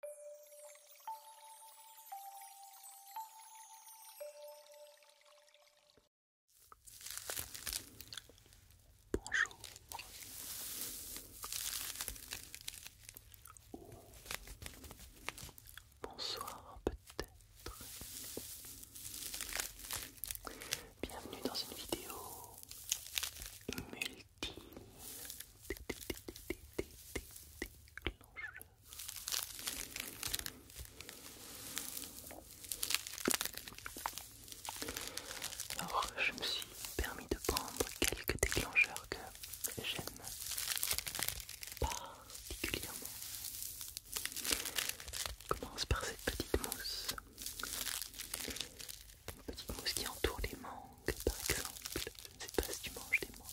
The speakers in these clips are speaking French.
Bonjour. bonsoir peut-être. Bienvenue dans une vidéo alors, je me suis permis de prendre quelques déclencheurs que j'aime particulièrement. Je commence par cette petite mousse. Une petite mousse qui entoure les membres par exemple. Je ne sais pas si tu manges des mangues.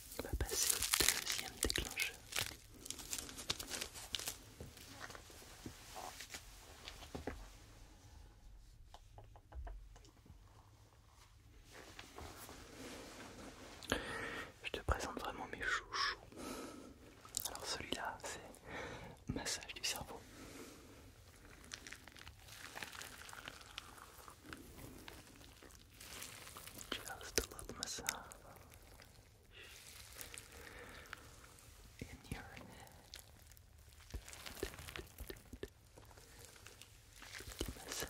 On va passer au deuxième déclencheur. Je te présente vraiment mes chouchous. Alors celui-là, c'est massage du cerveau. Just a little massage in your head. Massage.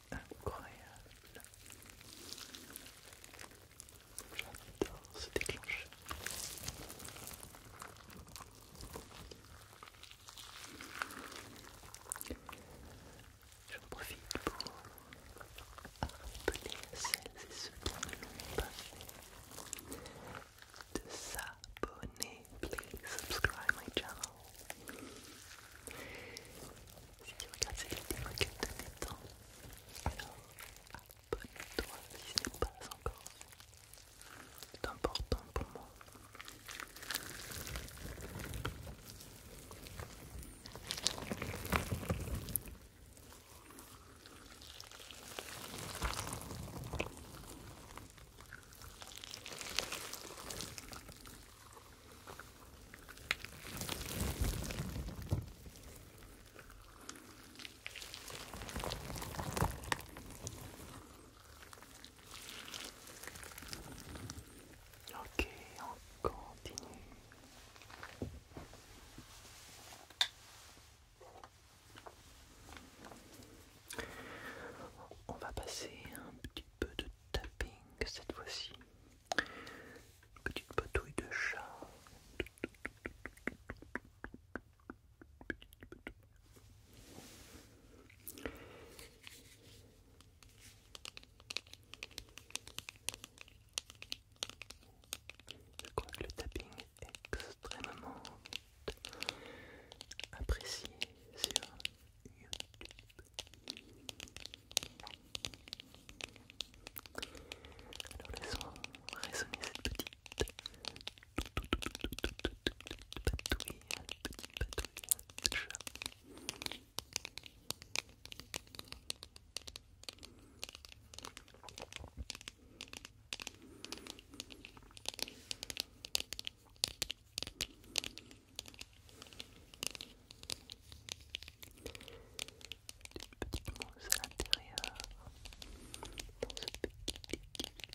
incroyable. J'adore ce déclencheur. J'en profite pour rappeler à celles et ceux qui ne l'ont pas fait de s'abonner. Please subscribe my channel. Si tu regardes cette vidéo que tu temps, alors abonne-toi si ce n'est pas encore. C'est important pour moi. Ok, on continue. On va passer un petit peu de tapping cette fois-ci. Petite patouille de chat. le tapping est extrêmement apprécié sur alors laissons résonner cette petite patouille, des petites mousses à l'intérieur. Dans ce petit déclencheur.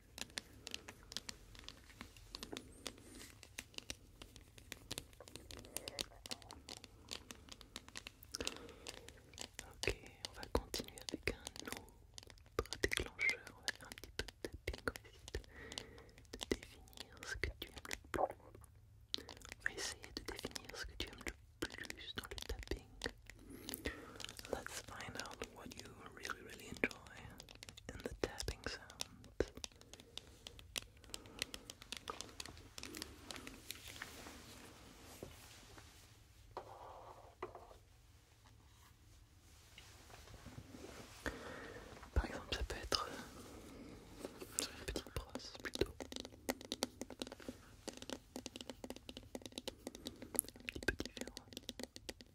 Ok, on va continuer avec un autre déclencheur. On va faire un petit peu de tapping. aussi de définir ce que tu aimes le plus. On va essayer de définir ce que tu aimes le plus dans le tapping. Let's find what you really, really enjoy in the tapping sound. Par exemple, ça peut être sur une petite plutôt.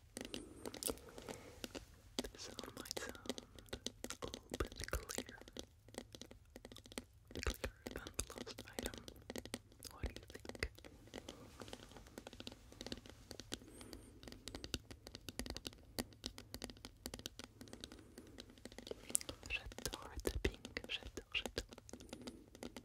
This sound might sound a little bit clearer. Clearer than the item. What do you think? J'adore tapping, j'adore, j'adore.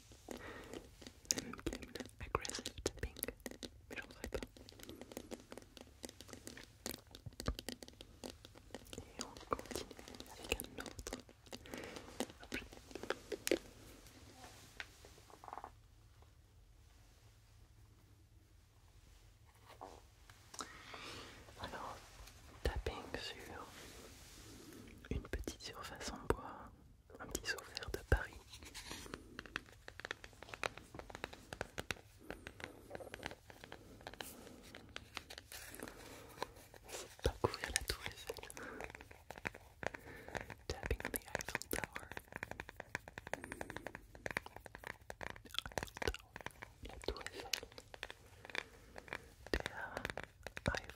même aggressive tapping, mais j'en ferai pas. Et on continue avec un autre. objet. Alors, tapping sur une petite surface en bois un petit souvenir de Paris. C'est pas la tour Eiffel. Tapping on the Eiffel Tower. Eiffel Tower. La tour Eiffel. Eiffel Tower.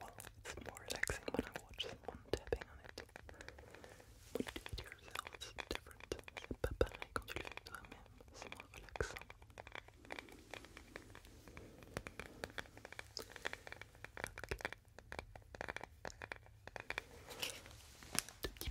Well, it's more relaxing when I watch someone tapping on it. When you do it yourself, it's different. C'est pas pareil quand tu le fais toi-même, c'est moins relaxant. Okay. Deux petits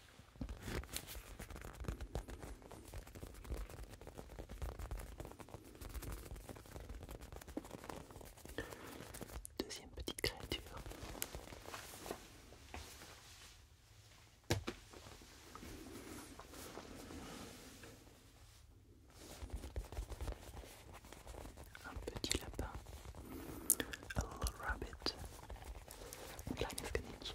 Deuxième petite créature. Un petit lapin, a little rabbit, la mécanique.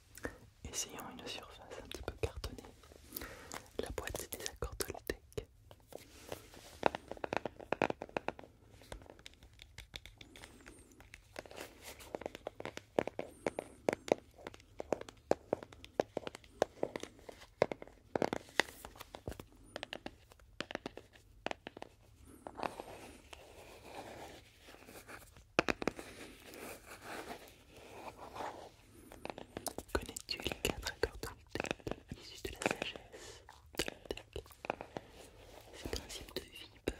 Essayons une surface un petit peu cartonnée. La boîte des accords Connais-tu les quatre accords de la sagesse Ces principes de vie peuvent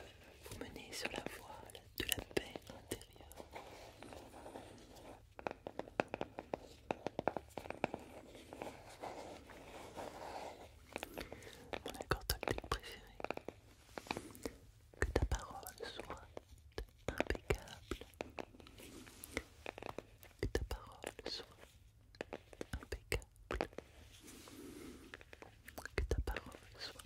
vous mener sur la voie de la paix intérieure. Mon accord préféré que ta parole soit impeccable, que ta parole soit impeccable, que ta parole soit impeccable.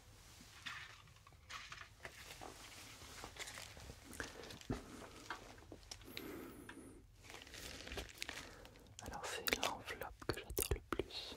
Alors c'est l'enveloppe que j'adore le plus.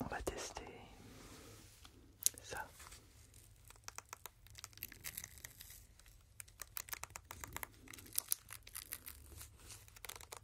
On va tester ça.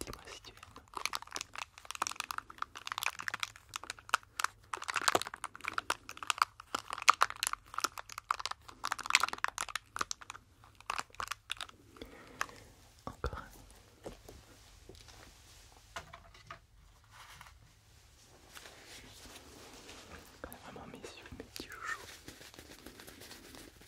Dis-moi si tu aimes. Encore un. Vraiment mes yeux, mes petits joujoux.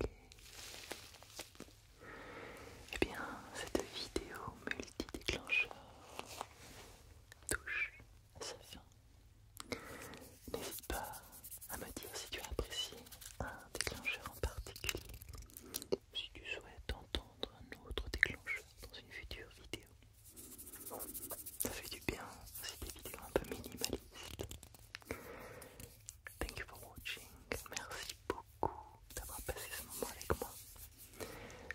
Ok. Eh bien, cette vidéo multi-déclencheur touche à sa fin. N'hésite pas à me dire si tu as apprécié un déclencheur en particulier, si tu souhaites entendre un autre déclencheur dans une future vidéo. Ça fait du bien, aussi des vidéos un peu minimalistes. Thank you for watching. Merci beaucoup d'avoir passé ce moment avec moi.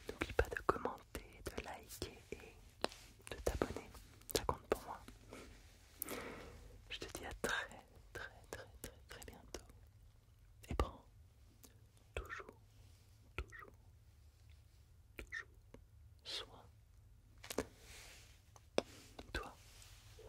N'oublie pas de commenter, de liker et de t'abonner. Ça compte pour moi. Je te dis à très très très très très bientôt. Et prends toujours, toujours, toujours soin toi. Salut.